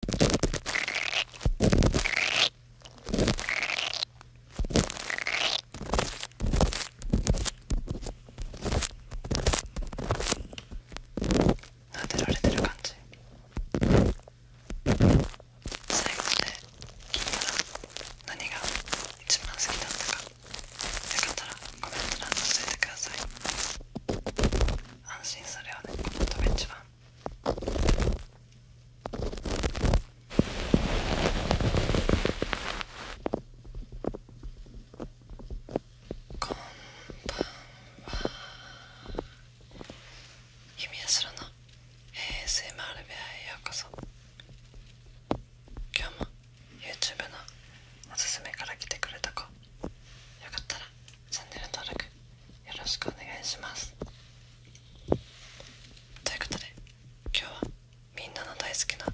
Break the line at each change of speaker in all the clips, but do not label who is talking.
撫でられてる感じ最後まで聞いたら何が一番好きだったかよかったらコメント欄に教えてください安心するよねこのトベッチこんんばは。みやすらの ASMR 部屋へようこそ今日も YouTube のおすすめから来てくれた子よかったらチャンネル登録よろしくお願いしますということで今日はみんなの大好きな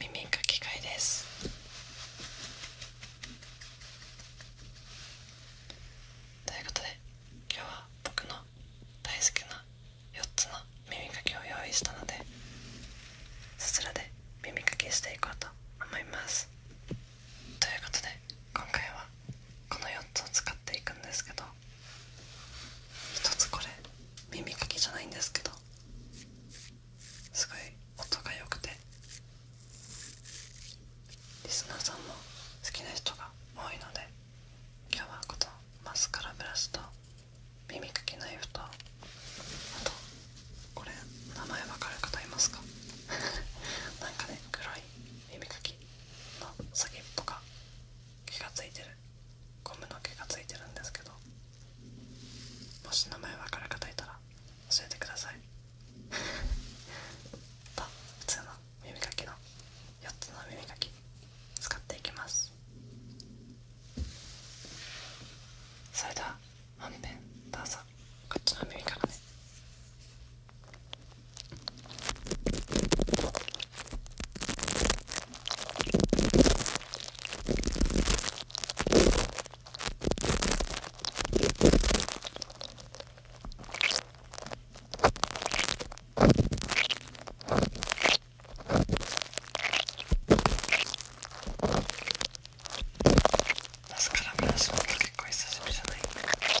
耳かき会ですということで今日は僕の大好きな4つの耳かきを用意したのでそちらで耳かきしていこうと思います。ということで今回はこの4つを使っていくんですけど1つこれ耳かきじゃないんですけどすごい音が良くてリスナーさんも好きな人が多いので今日はこのマスカラブラシと耳かきナイフとあとこれ名前わかる方いますか なんかね黒い耳かきの先っぽが気がついてるゴムの毛がついてるんですけどもし名前分からかたいたら教えてください と普通の耳かきの4つの耳かき使っていきますそれでは本編どうぞこっちの耳からねマスカラブラシ結構久しぶりじゃない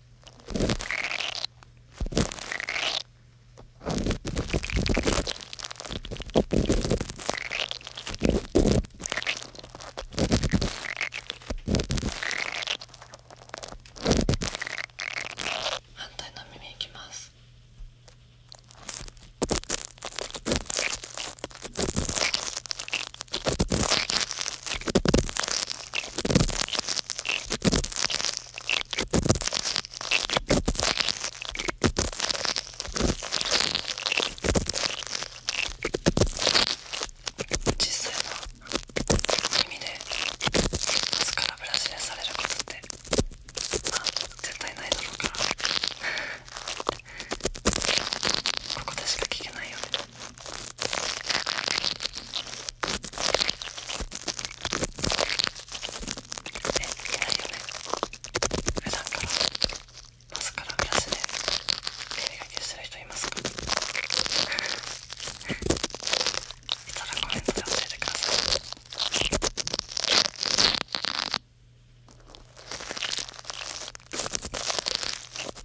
反対の耳いきます。実際は耳でマスカラブラシでされることってまあ絶対ないだろうからここでしか聞けないよね普段からマスカラ目安で手がけしてる人いますかいたらコメントで教えてください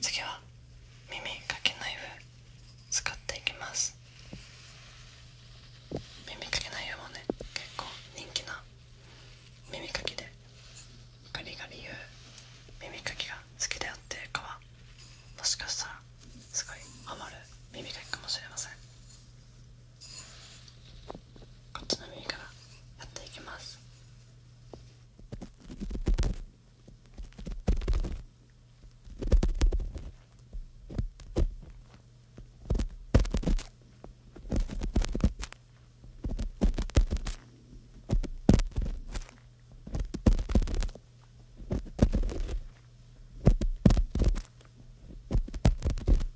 次は耳かけナイフ使っていきます耳かきナイフもね結構人気な耳かきでガリガリ言う耳かきが好きであっているかはもしかしたらすごいハマる耳かきかもしれませんこっちの耳からやっていきます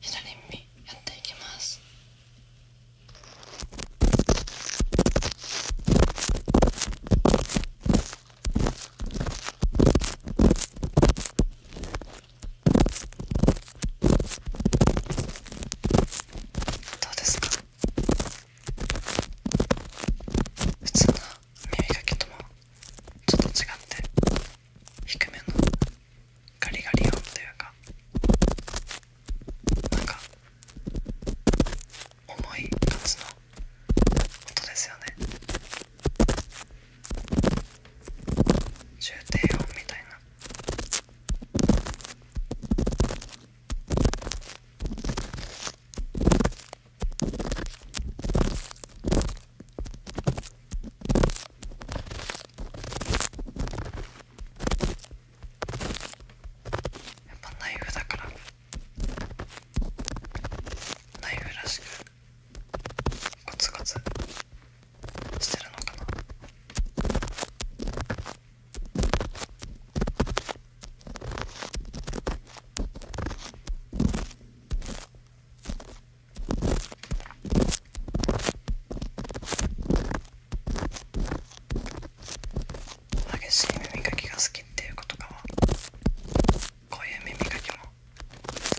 左耳やっていきます。どうですか普通の耳かきともちょっと違って低めのガリガリ音というかなんか重い感じの音ですよね重低音みたいな。ぱナイフだからナイフらしくコツコツしてるのかな激しい耳かきが好きっていうことかもこういう耳かきも好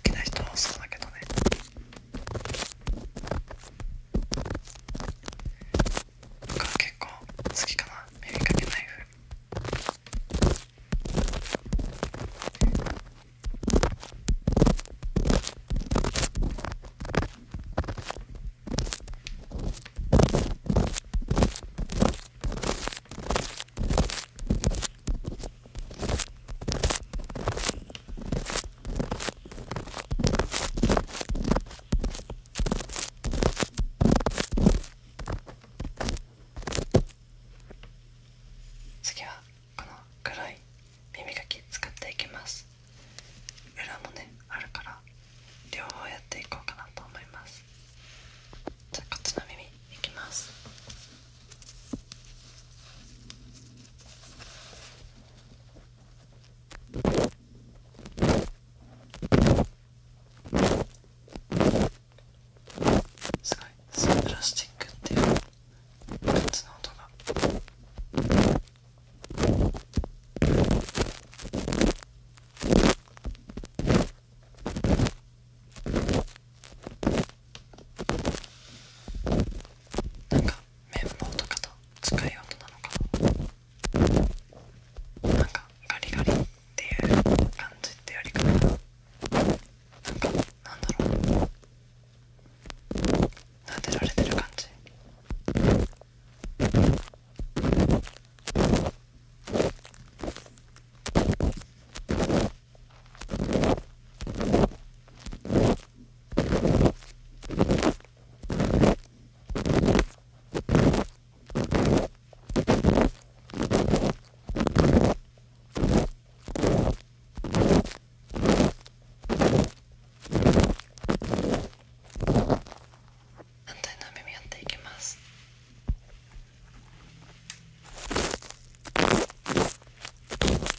きな人はそうだけどね僕は結構好きかな耳かけナイフ次はこの黒い耳かき使っていきます裏もねあるから両方やっていこうかなと思いますじゃあこっちの耳いきますすごいそのプラスチックっていう3つの音が。なんか綿棒とかと使いようなのかなんかガリガリっていう感じってよりかなんかなんだろう撫でられてる感じなん反対の耳やっていきます。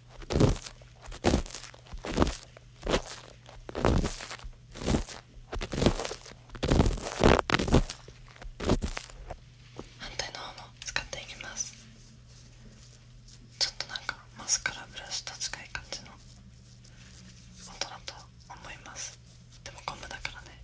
反対の方も使っていきますちょっとなんかマスカラブラシと近い感じの音だと思いますでもゴムだからね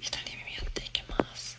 左耳やっていきます。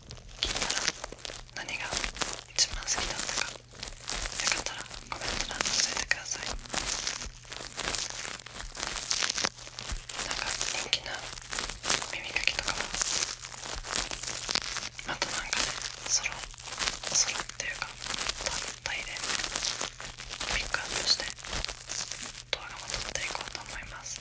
聞いたら何が一番好きだったかよかったらコメント欄に教えてくださいなんか人気な耳かきとかもまたなんかねソロソロっていうか単体でピックアップして動画も撮っていこうと思います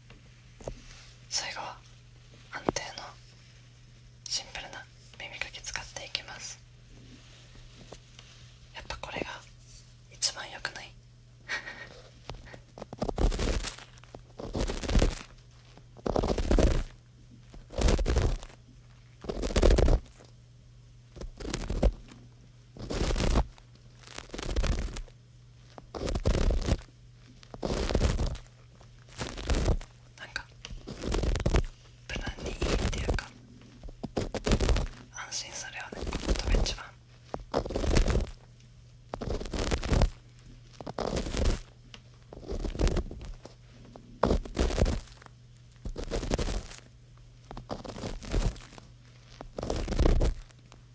最後は安定のシンプルな耳かき使っていきますやっぱこれが一番良くない なんか無難にいいっていうか安心するよねこの音が一番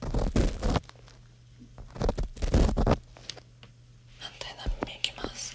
反対の耳いきます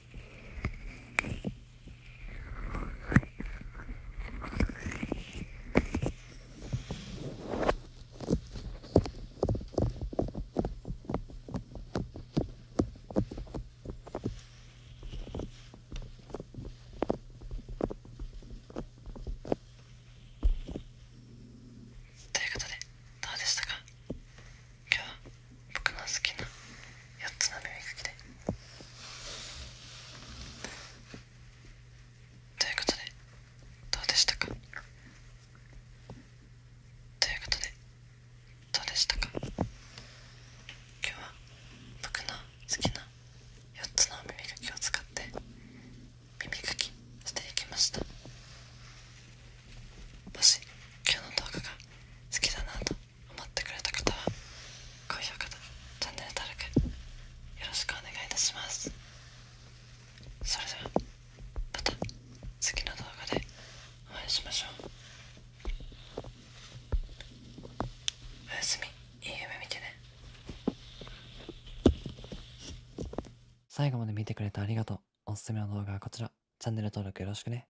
ということでどうでしたか今日は僕の好きな4つの耳かきでということでどうでしたかということでどうでしたか今日は僕の好きな4つの耳かきを使って耳かきしていきましたもし今日の動画が好きだなと思ってくれた方は高評価とチャンネル登録よろしくお願いいたしますそれではまた次の動画でお会いしましょうおやすみいい夢見てね最後まで見てくれてありがとうおすすめの動画はこちらチャンネル登録よろしくね